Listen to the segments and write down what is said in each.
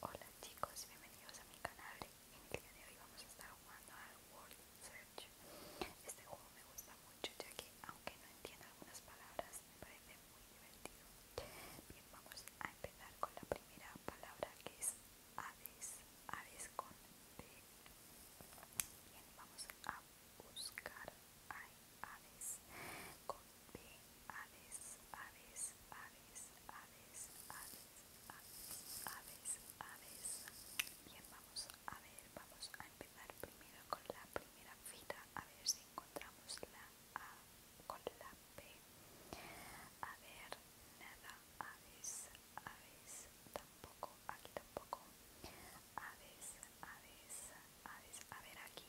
Hola chicos, bienvenidos a mi canal. En el día de hoy vamos a estar jugando al World Search. Este juego me gusta mucho ya que aunque no entiendo algunas palabras me parece muy divertido. Bien, vamos a empezar con la primera palabra que es aves, aves con D. Bien, vamos a buscar hay aves B, aves, aves, aves, aves, aves, aves, aves, aves. Bien, vamos a ver, vamos a empezar primero con la primera fila, a ver si encontramos la A con la B. A ver, nada, aves, aves, tampoco, aquí tampoco. Aves, aves, aves, a ver aquí,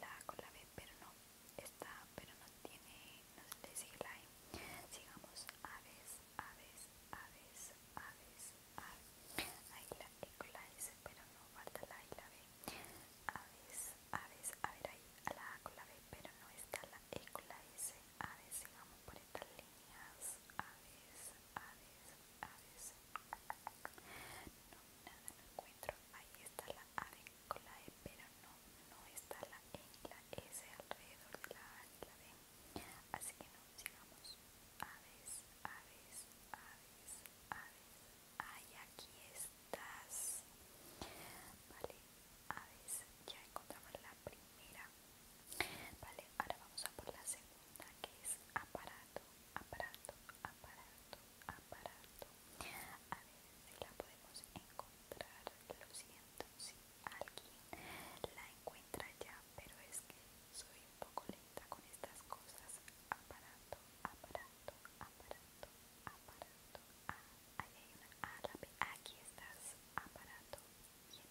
la A con la B, pero no está, pero no tiene, no se le sigue la A Sigamos, aves, aves, aves, aves, aves. Ahí la E con la S, pero no falta la A y la B. Aves, aves, a ver ahí, a la A con la B, pero no está la E con la S. Aves, sigamos por estas líneas. Aves, aves, aves. No, nada, no encuentro. Ahí está la ave con la E, pero no, no está la E y la S alrededor de la A y la D. Así que no, sigamos. Aves, aves, aves, aves. Ay, aquí estás. Vale, aves, ya encontramos la primera. Vale, ahora vamos a por la segunda que es aparato, aparato, aparato, aparato, a ver si la podemos encontrar. Lo siento si alguien la encuentra ya, pero es que soy un poco lenta con estas cosas. Aparato, aparato, aparato, aparato. Ah, ahí hay una A, ah, la Aquí estás. Aparato. Bien.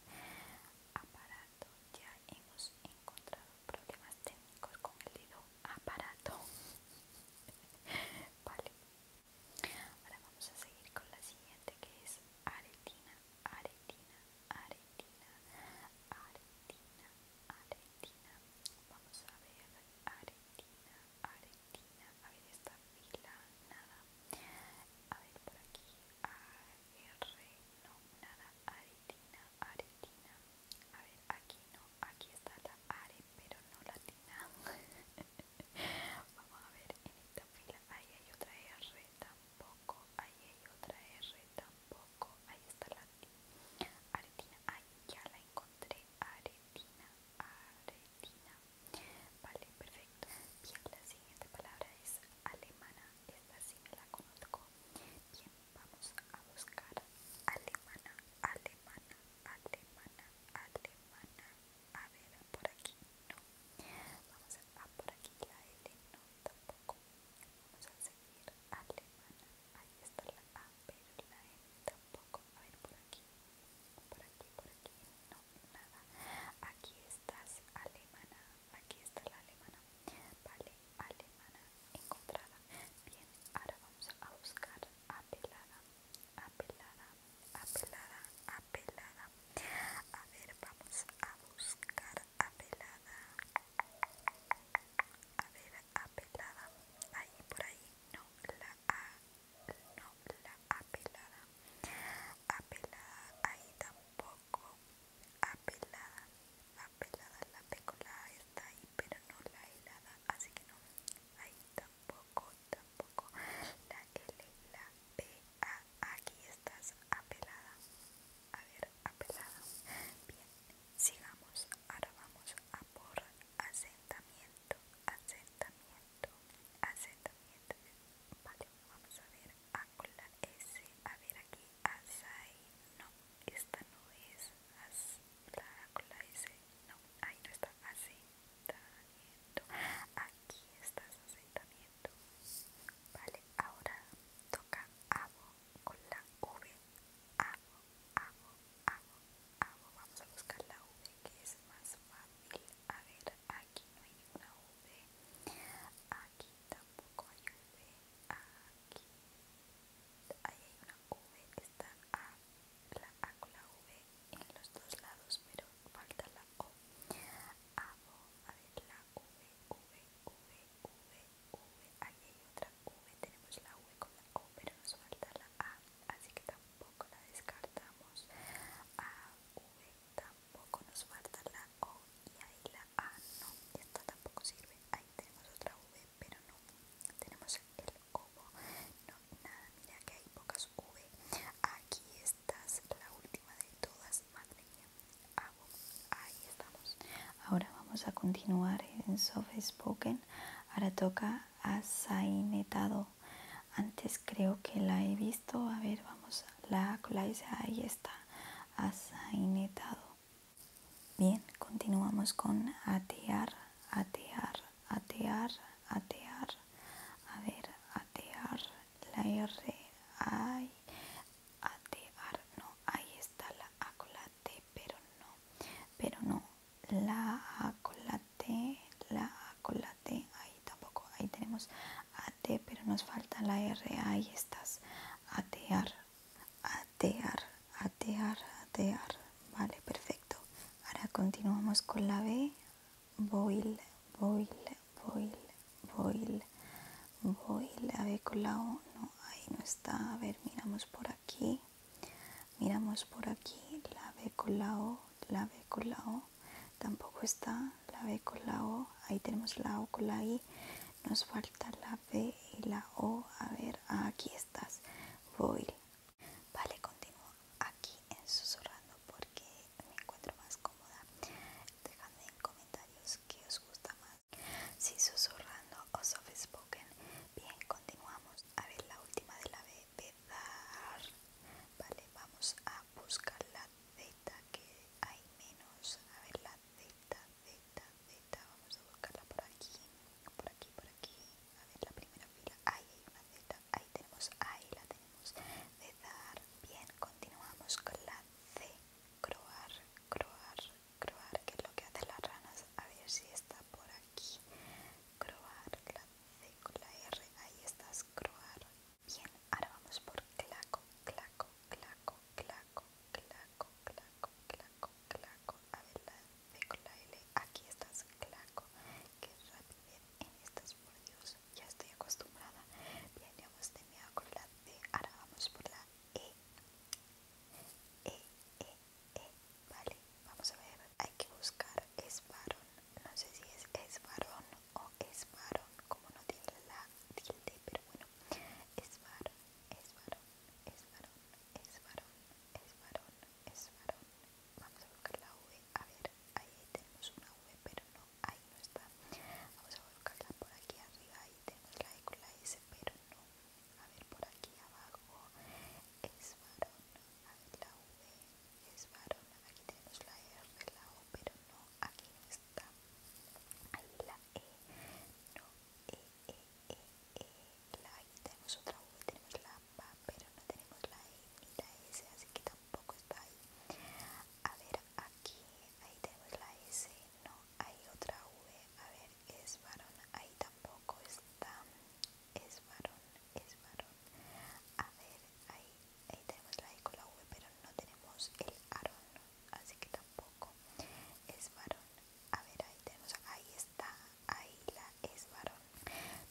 Aparato. Ya hemos encontrado problemas técnicos con el dedo aparato. Vale, Ahora vamos a seguir con la siguiente que es aretina, aretina, aretina, aretina, aretina. Vamos a ver, aretina, aretina. A ver esta fila, nada. A ver por aquí, R, no, nada, aretina, aretina. A ver, aquí no, aquí está la aretina pero no latina. Vamos a ver en esta fila. Ahí hay otra R tampoco. Ahí hay otra R tampoco. Ahí está la aretina. Ahí ya la encontré. Aretina. Aretina. Vale, perfecto. Bien, la siguiente palabra es alemana. Esta sí me la conozco. Bien, vamos a buscar alemana, alemana, alemana, alemana. A ver, por aquí no. Vamos a, por aquí la L no, tampoco. Vamos a seguir alemana. Ahí está la A, pero la L tampoco. A ver, por aquí. Por aquí, por aquí. No, nada. Aquí estás alemana. Aquí está la alemana. Vale, alemana encontrada. Bien, ahora vamos a buscar apelada, apelada, apelada, apelada. A ver, vamos a buscar apelada. A ver, apelada. Ahí por ahí no la a, no la apelada. Apelada ahí tampoco. Apelada, apelada la pecola está ahí, pero no la helada, así que no. Ahí está tampoco, tampoco. La L, la P, A. Aquí estás apelada. A ver, apelada. Bien, sigamos. Ahora vamos a por asentamiento, asentamiento, asentamiento. Vale, vamos a ver. A con la S. A ver aquí. Asai. No, esta no es. la con la S. No, ahí no está. Así. Aquí estás aceitamiento, Vale, ahora toca abo con la V. Abo, abo, abo, abo. Vamos a buscar la V que es más fácil. A ver, aquí no hay una V. Aquí tampoco hay una V. Aquí. hay una V. que Está A la A con la V en los dos lados, pero falta la O. A, O, a ver, la V, V, V, V, V. Aquí hay otra V, tenemos la V con la O, pero nos falta la A, así que tampoco la descartamos. A, V, tampoco nos falta la O y ahí la A no. y Esta tampoco sirve. Ahí tenemos otra V, pero no. Tenemos el como no, nada, que hay pocas aquí estás la última de todas madre ah, ahí estamos ahora vamos a continuar en soft spoken ahora toca a antes creo que la he visto a ver vamos la clase ahí está asainetado bien continuamos con atear atear atear, atear, a ver, atear, la R, ay, atear, no, ahí está la A pero no, pero no, la A la T, A ahí tampoco, ahí tenemos A, T, pero nos falta la R, ahí estás, atear, atear atear, atear. Vale, perfecto. Ahora continuamos con la B. Boil, boil, boil, boil, boil. A con la O. No, ahí no está. A ver, miramos por aquí. Miramos por aquí. La B con la O. La B con la O. Tampoco está. La B con la O. Ahí tenemos la O con la I. Nos falta la B y la O. A ver, aquí estás. Boil, Vale, continúo aquí en susurrando porque me encuentro más cómoda. Dejadme en comentarios qué os gusta más. Si susurrando o soft spoken. Bien, continuamos. A ver la última de la B, Vale, vamos a buscar la Z que hay menos. A ver la Z, Z, Z. Vamos a buscarla por aquí, por aquí, por aquí a ver la primera fila, ahí hay una Z, ahí tenemos, ahí la tenemos, de dar, bien, continuamos con la C, croar, croar, croar, que es lo que hacen las ranas, a ver si está por aquí, croar, la C con la R, ahí estás, croar, bien, ahora vamos por claco, claco, claco, claco, claco, claco, claco, claco, a ver la de L, aquí estás, Claco, qué rápido en estas, por Dios, ya estoy acostumbrada, bien, ya hemos terminado con la D, ahora vamos por la E, E, E, E, vale, vamos a ver, hay que buscar, es varón, no sé si es es varón o es varón, como no tiene la tilde, pero bueno, es varón, es varón, es varón, es varón, es varón, es varón. Vamos a buscar la V. A ver, ahí tenemos una V, pero no, ahí no está. Vamos a buscarla por aquí arriba. Ahí tenemos la E con la S, pero no. A ver, por aquí abajo es varón. A ver, la V es varón. Aquí tenemos la R, la O, pero no, aquí no está. Ahí la E, no, E, E, E, E la tenemos otra V, tenemos la A, pero no tenemos la E ni la S, así que tampoco está ahí. A ver, aquí, ahí tenemos la S, no, hay otra V, a ver, es varón, ahí tampoco está, es varón, es varón. A ver, ahí, ahí tenemos la I e con la V, pero no tenemos el aro así que tampoco es varón. A ver, ahí tenemos, ahí está, Ahí la es varón.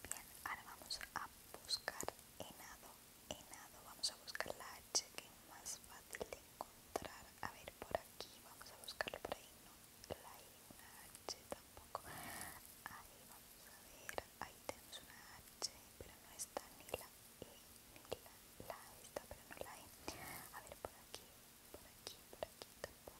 Bien, ahora vamos a buscar enado. Enado, vamos a buscar la H que es más fácil de encontrar. A ver, por aquí, vamos a buscarlo por ahí. No, la una H tampoco. Ahí vamos a ver, ahí tenemos una H, pero no está ni la E, ni la, la e está, pero no la E. A ver, por aquí, por aquí, por aquí tampoco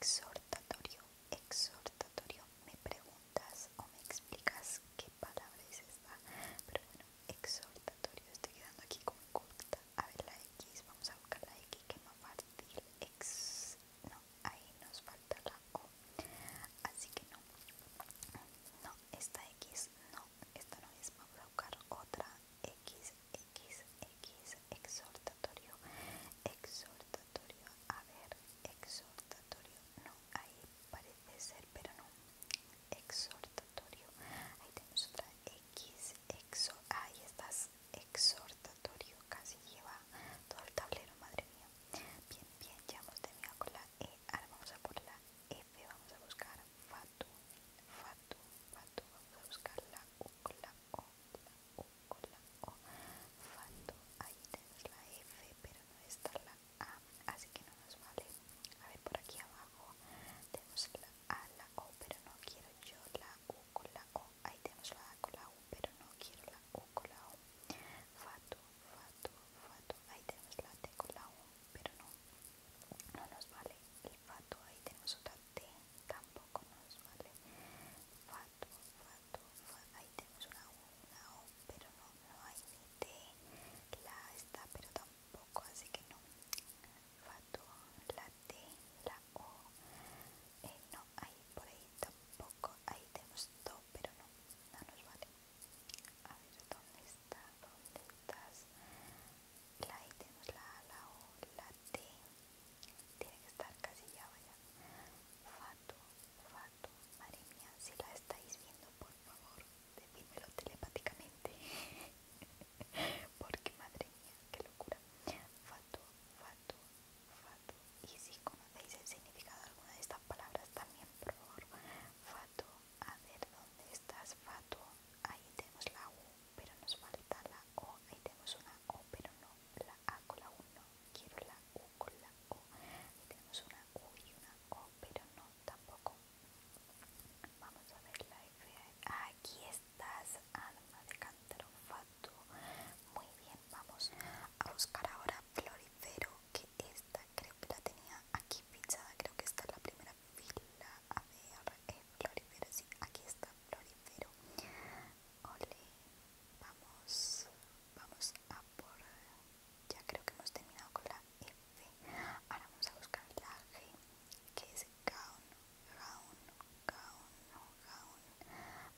exhortatorio, exhortatorio, me preguntas o me explicas qué palabra es esta, pero bueno, exhortatorio, estoy quedando aquí con corta, a ver la X, vamos a buscar la X que no más fácil, ex, no, ahí nos falta la O, así que no, no, esta X no, esta no es, vamos a buscar otra X X, X, exhortatorio, exhortatorio, a ver, exhortatorio, no, ahí parece ser, pero no, exhortatorio, ahí tenemos otra X, exo, ahí estás, exhortatorio, casi lleva todo el tablero, madre mía, bien, bien, ya hemos terminado con la E, ahora vamos a por la F, vamos a buscar Fatu, Fatu, Fatu, vamos a buscar la U, la O, la ahí tenemos la F, pero no está la A, así que no nos vale. A ver, por aquí abajo tenemos la A, la O, pero no quiero yo la U con la O. Ahí tenemos la A con la U, pero no quiero la U con la O. Fato, fato, fato. Ahí tenemos la T con la U, pero no, no nos vale el fato. Ahí tenemos otra t tampoco nos vale fatu, fato ahí tenemos una U, una O pero no, no hay ni T la está pero tampoco así que no fatu, la T, la O eh, no, ahí por ahí tampoco ahí tenemos do pero no, no nos vale a ver, ¿dónde está? ¿dónde estás? ahí tenemos la A, la O, la T, tiene que estar casi ya, vaya. Fato, Fato, madre mía, si la estáis viendo, por favor, decídmelo telepáticamente. Porque madre mía, qué locura. Fato, Fato, Fato. Y si conocéis el significado de alguna de estas palabras también, por favor. Fato, a ver dónde estás, Fato. Ahí tenemos la U pero nos falta la O. Ahí tenemos una O, pero no la A con la U, no. Quiero la U con la O. Ahí tenemos una U y una O, pero no tampoco. Vamos a ver la F. Aquí estás, alma de cántaro fatuo. Muy bien, vamos a buscar ahora florifero, que esta creo que la tenía aquí fichada. Creo que esta es la primera fila. A ver, que eh, florifero, sí, aquí está florifero vamos, vamos a por... Ya creo que hemos terminado con la F. Ahora vamos a buscar la G, que es Gaun, Gaun, Gaun.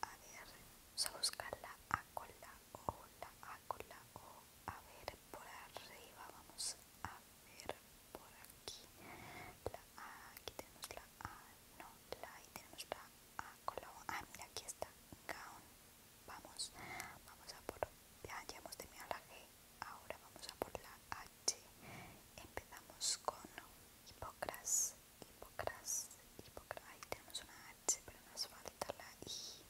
A ver, vamos a buscar la A con la O, la A con la O. A ver, por arriba vamos a ver por aquí. La A, aquí tenemos la A, no la I tenemos la A con la O ah mira aquí está vamos vamos a por ya, ya hemos terminado la G ahora vamos a por la H empezamos con Hipocras Hipocras Hipocras ahí tenemos una H pero nos falta la I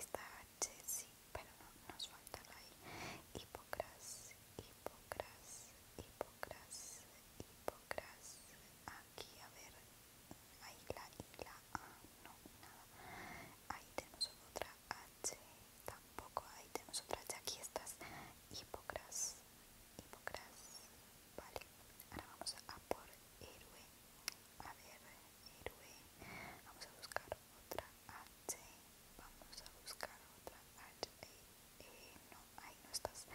esta H sí pero no nos falta la I Hipocras Hipocras, Hipocras, Hipocras. Aquí, a ver, ahí la ahí la A, no, nada. Ahí tenemos otra H, tampoco. Ahí tenemos otra H. Aquí estas Hipocras, Hipocras. Vale, ahora vamos a por héroe. A ver, héroe. Vamos a buscar otra H. Vamos a buscar otra H no, ahí no estás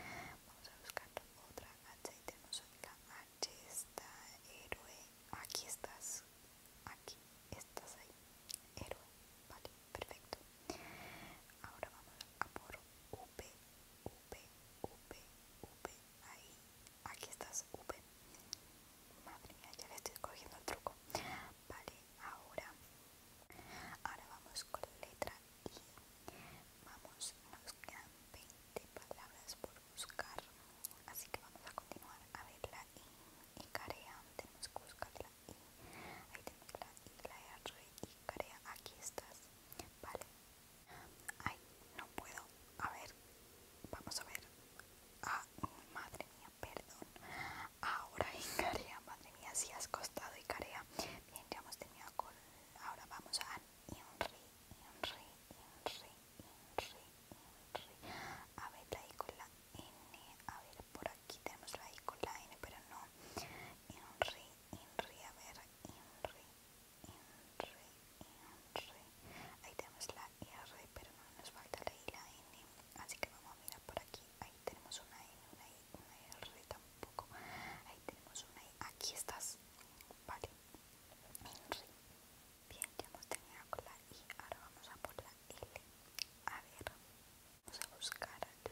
vamos a buscar otra H y tenemos la H está héroe aquí estás aquí estás ahí héroe vale perfecto ahora vamos a por V V, V, up ahí aquí estás V madre mía ya le estoy cogiendo el truco vale ahora ahora vamos con la letra Vamos, nos quedan 20 palabras por buscar, así que vamos a continuar a ver la I y carea, tenemos que buscar la I, ahí tenemos la I, la R y carea, aquí estás, vale, ay, no puedo, a ver, vamos a ver, ah, madre mía, perdón, ahora Icarea, carea, madre mía, si has costado y carea, Bien, ya hemos con. Ahora vamos a Enri, Enri, Enri Enri, Inri. A ver, la I con la N. A ver, por aquí tenemos la I con la N, pero no. Enri, Enri, a ver, Enri Enri, Enri Ahí tenemos la R, pero no nos falta la I, la N. Así que vamos a mirar por aquí ahí tenemos una i una I, una R tampoco, ahí tenemos una I, aquí estás, vale, bien, ya hemos tenido con la I, ahora vamos a por la L, a ver, vamos a buscar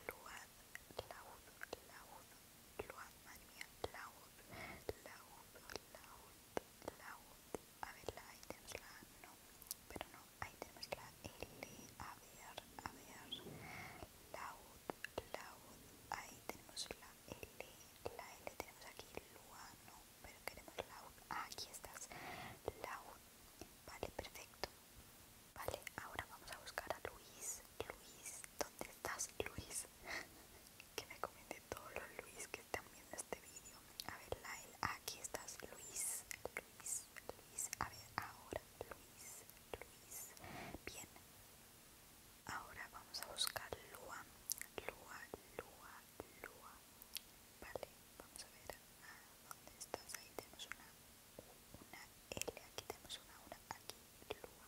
Luad, Laud, Laud, Luad, madre mía, Laud, Laud, Laud, Laud, a ver, la I tenemos la A, no, pero no, ahí tenemos la L, a ver, a ver, Laud, Laud, ahí tenemos la L, la L tenemos aquí, Luano, pero queremos Laud, U, aquí estás, Laud, vale, perfecto, vale, ahora vamos a buscar a Luis, Luis, ¿dónde estás Luis? que me comenten todos los Luis que están viendo este vídeo, a ver, la L, aquí estás, Luis, Luis, Luis, a ver, ahora, Luis, Luis. Bien, ahora vamos a buscar Lua, Lua, Lua, Lua. Vale, vamos a ver dónde estás. Ahí tenemos una L, aquí tenemos una una, aquí Lua.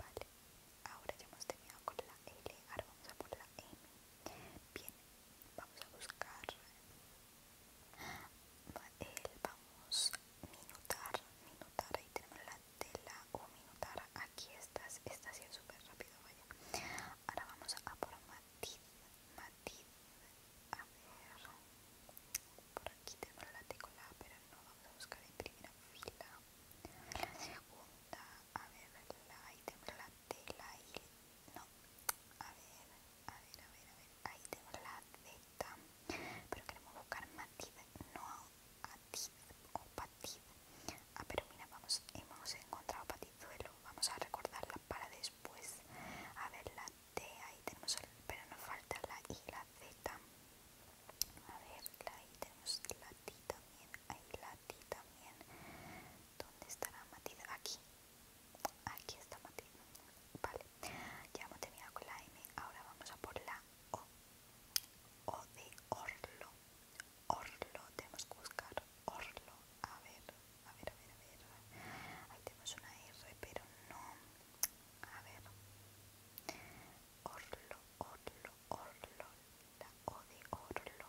Vale, ahora ya hemos terminado con la L, ahora vamos a poner la M. Bien, vamos a buscar el vamos minutar minutar ahí tenemos la tela o minutar aquí estas estás haciendo súper rápido vaya ahora vamos a por matiz matiz a ver por aquí tenemos la tecla pero no vamos a buscar en primera fila la segunda a ver la, ahí tenemos la tela y no a ver a ver a ver a ver ahí tengo la Z, pero queremos buscar matid, no a T o patid. Ah, pero mira, vamos, hemos encontrado patizuelo, vamos a recordarla para después. A ver, la T, ahí tenemos, pero nos falta la I, la Z. A ver, la I tenemos la T también, ahí la T también. ¿Dónde estará matiz? Aquí. Aquí está matiz, Vale, ya hemos tenido con la M, ahora vamos a por la O. O de Orlo. Orlo, tenemos que buscar Orlo. A ver, a ver, a ver, a ver. Ahí tenemos una R, pero no. A ver. Orlo, Orlo, Orlo. La O de Orlo.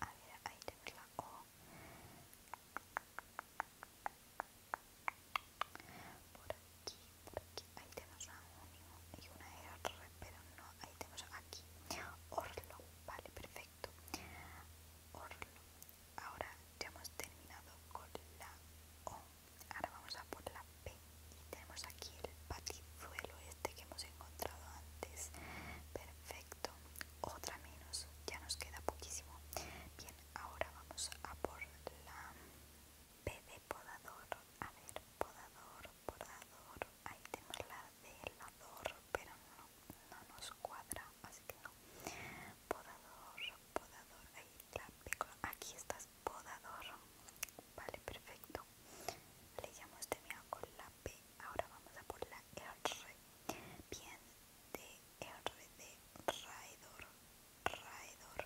A ver, ahí tenemos la O por aquí, por aquí, ahí tenemos a Unio y una era pero no, ahí tenemos aquí Orlo, vale, perfecto Orlo, ahora ya hemos terminado con la O, ahora vamos a por la P y tenemos aquí el patizuelo este que hemos encontrado antes perfecto, otra menos, ya nos queda poquísimo bien, Ahora vamos a por la P de podador. A ver, podador, podador. Ahí tenemos la de helador, pero no, no nos cuadra, así que no. Podador, podador. Ahí la P. Aquí estás, podador. Vale, perfecto. Le llamamos este de con la P. Ahora vamos a por la R. Bien, de otra de Raidor, Raidor,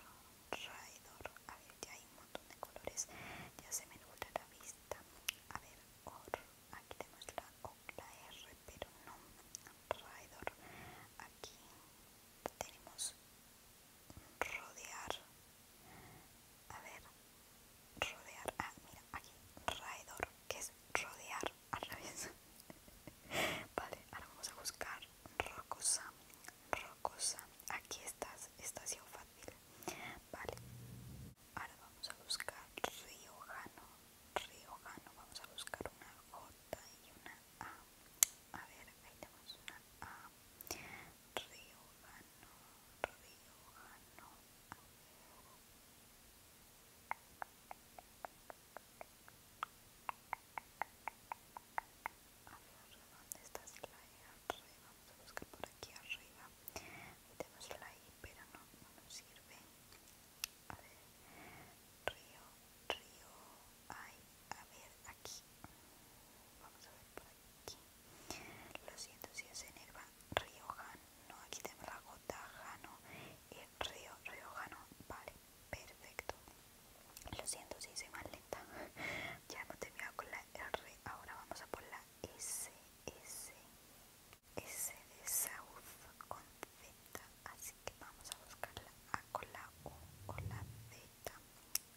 Raidor. A ver, ya hay un montón de colores. Ya se me nubla la vista. A ver, Aquí tenemos la R, pero no. Raidor. Aquí tenemos rodear. A ver, rodear. Ah, mira, aquí. Raidor, que es rodear. vale, ahora vamos a buscar rocosa rocosa aquí estás, está sido fácil vale ahora vamos a buscar riojano riojano, vamos a buscar una J y una A a ver, ahí tenemos una A riojano riojano a ver ¿dónde Arriba, vamos a buscar por aquí arriba y tenemos I, pero no, no nos sirve a ver, río, río, ay, a ver, aquí vamos a ver por aquí lo siento si es en Río, Rioja, no, aquí tenemos la gota, Jano, Río Río Riojano, vale, perfecto. Lo siento si soy más lenta. ya hemos terminado con la R, ahora vamos a por la S, S, S de South con Z. Así que vamos a buscar la A con la U con la Z.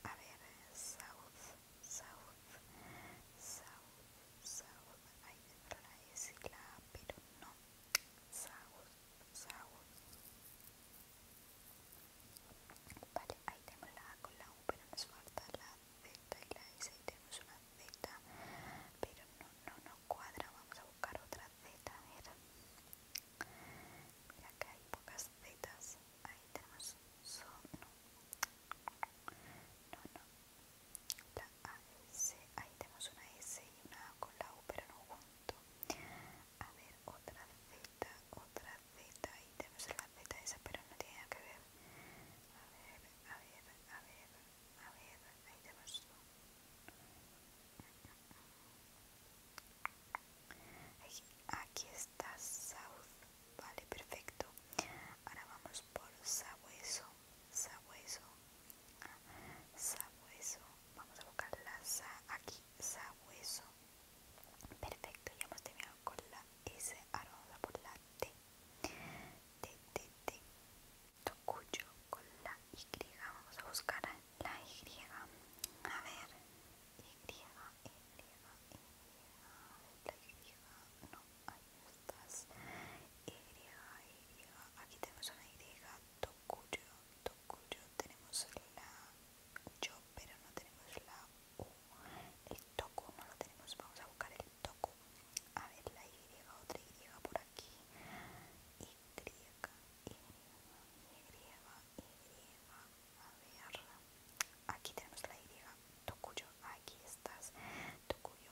A ver, South, South, South, South. Ahí está la S y la A, pero no. South, vale, ahí tenemos la A con la U pero nos falta la Z y la S ahí tenemos una Z pero no, no no cuadra vamos a buscar otra Z mira que hay pocas Zetas ahí tenemos son no no la AS, ahí tenemos una S y una A con la U pero no junto a ver otra Z, otra Z, ahí tenemos la Z esa pero no tiene nada que ver a ver, a ver, a ver, a ver, ahí tenemos aquí está South, vale perfecto ahora vamos por sabueso sabueso, sabueso, vamos a buscar la sa aquí, sabueso, perfecto, ya hemos terminado con la S, ahora vamos por la T, T, T, T, con la Y, vamos a buscar la Y, a ver, Y, Y, Y, la Y, no, ahí estás, Y, e, Y, aquí tenemos una Y, Tokuyo, Tokuyo, tenemos la yo, pero no tenemos la U. El Toku no lo tenemos, vamos a buscar el Toku. A ver, la Y, otra Y por aquí. Y, Y, Y, Y. A ver, aquí tenemos la Y. Tokuyo, aquí estás. Tokuyo,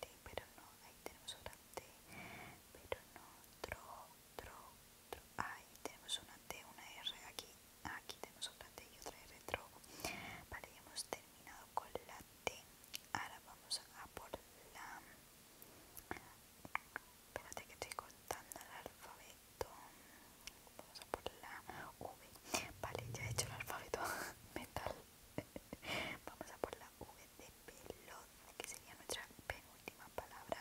T, pero no, ahí tenemos otra T, pero no, tro, tro, tro, ahí tenemos una T, una R, aquí, aquí tenemos otra T y otra R, tro. Vale, ya hemos terminado con la T, ahora vamos a por la... Espérate que estoy contando el alfabeto. Vamos a por la V. Vale, ya he hecho el alfabeto mental. Vamos a por la V de veloz, que sería nuestra penúltima palabra.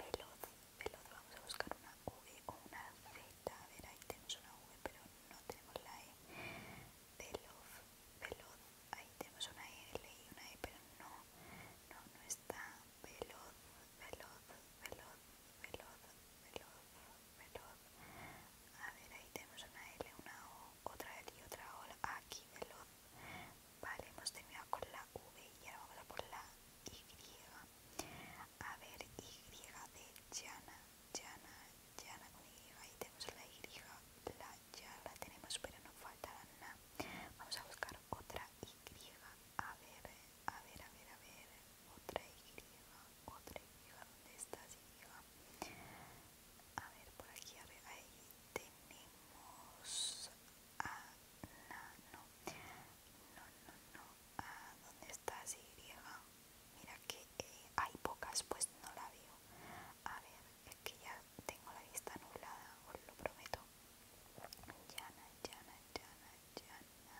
Veloz, veloz, vamos a buscar una V o una Z. A ver, ahí tenemos una V, pero no tenemos la E. Veloz, veloz, ahí tenemos una L y una E, pero no, no, no está. Veloz, veloz, veloz, veloz, veloz, veloz, veloz. A ver, ahí tenemos una L, una O, otra L y otra O. Aquí veloz. Vale, hemos terminado con la V y ahora vamos a por la Y. A ver, Y de Yana, Yana, Yana con Y. Ahí tenemos la Y, la ya la tenemos, pero no falta la Vamos a buscar otra Y. A ver, a ver, a ver, a ver. Otra Y, otra Y. ¿Dónde estás, Y? a ver por aquí ver, ahí tenemos a no no no no a dónde está y mira que eh, hay pocas pues no la veo a ver es que ya tengo la vista nublada os lo prometo llana llana llana llana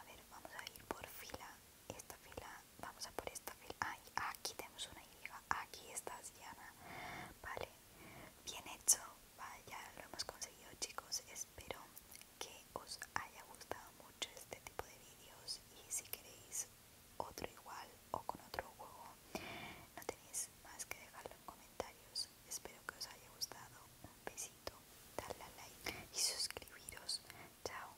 a ver vamos a ir por fila esta fila, vamos a por esta fila, Ay, aquí tenemos una Y, aquí estás Diana, vale, bien hecho, vaya, lo hemos conseguido chicos, espero que os haya gustado mucho este tipo de vídeos y si queréis otro igual o con otro juego, no tenéis más que dejarlo en comentarios, espero que os haya gustado, un besito, darle like y suscribiros, chao.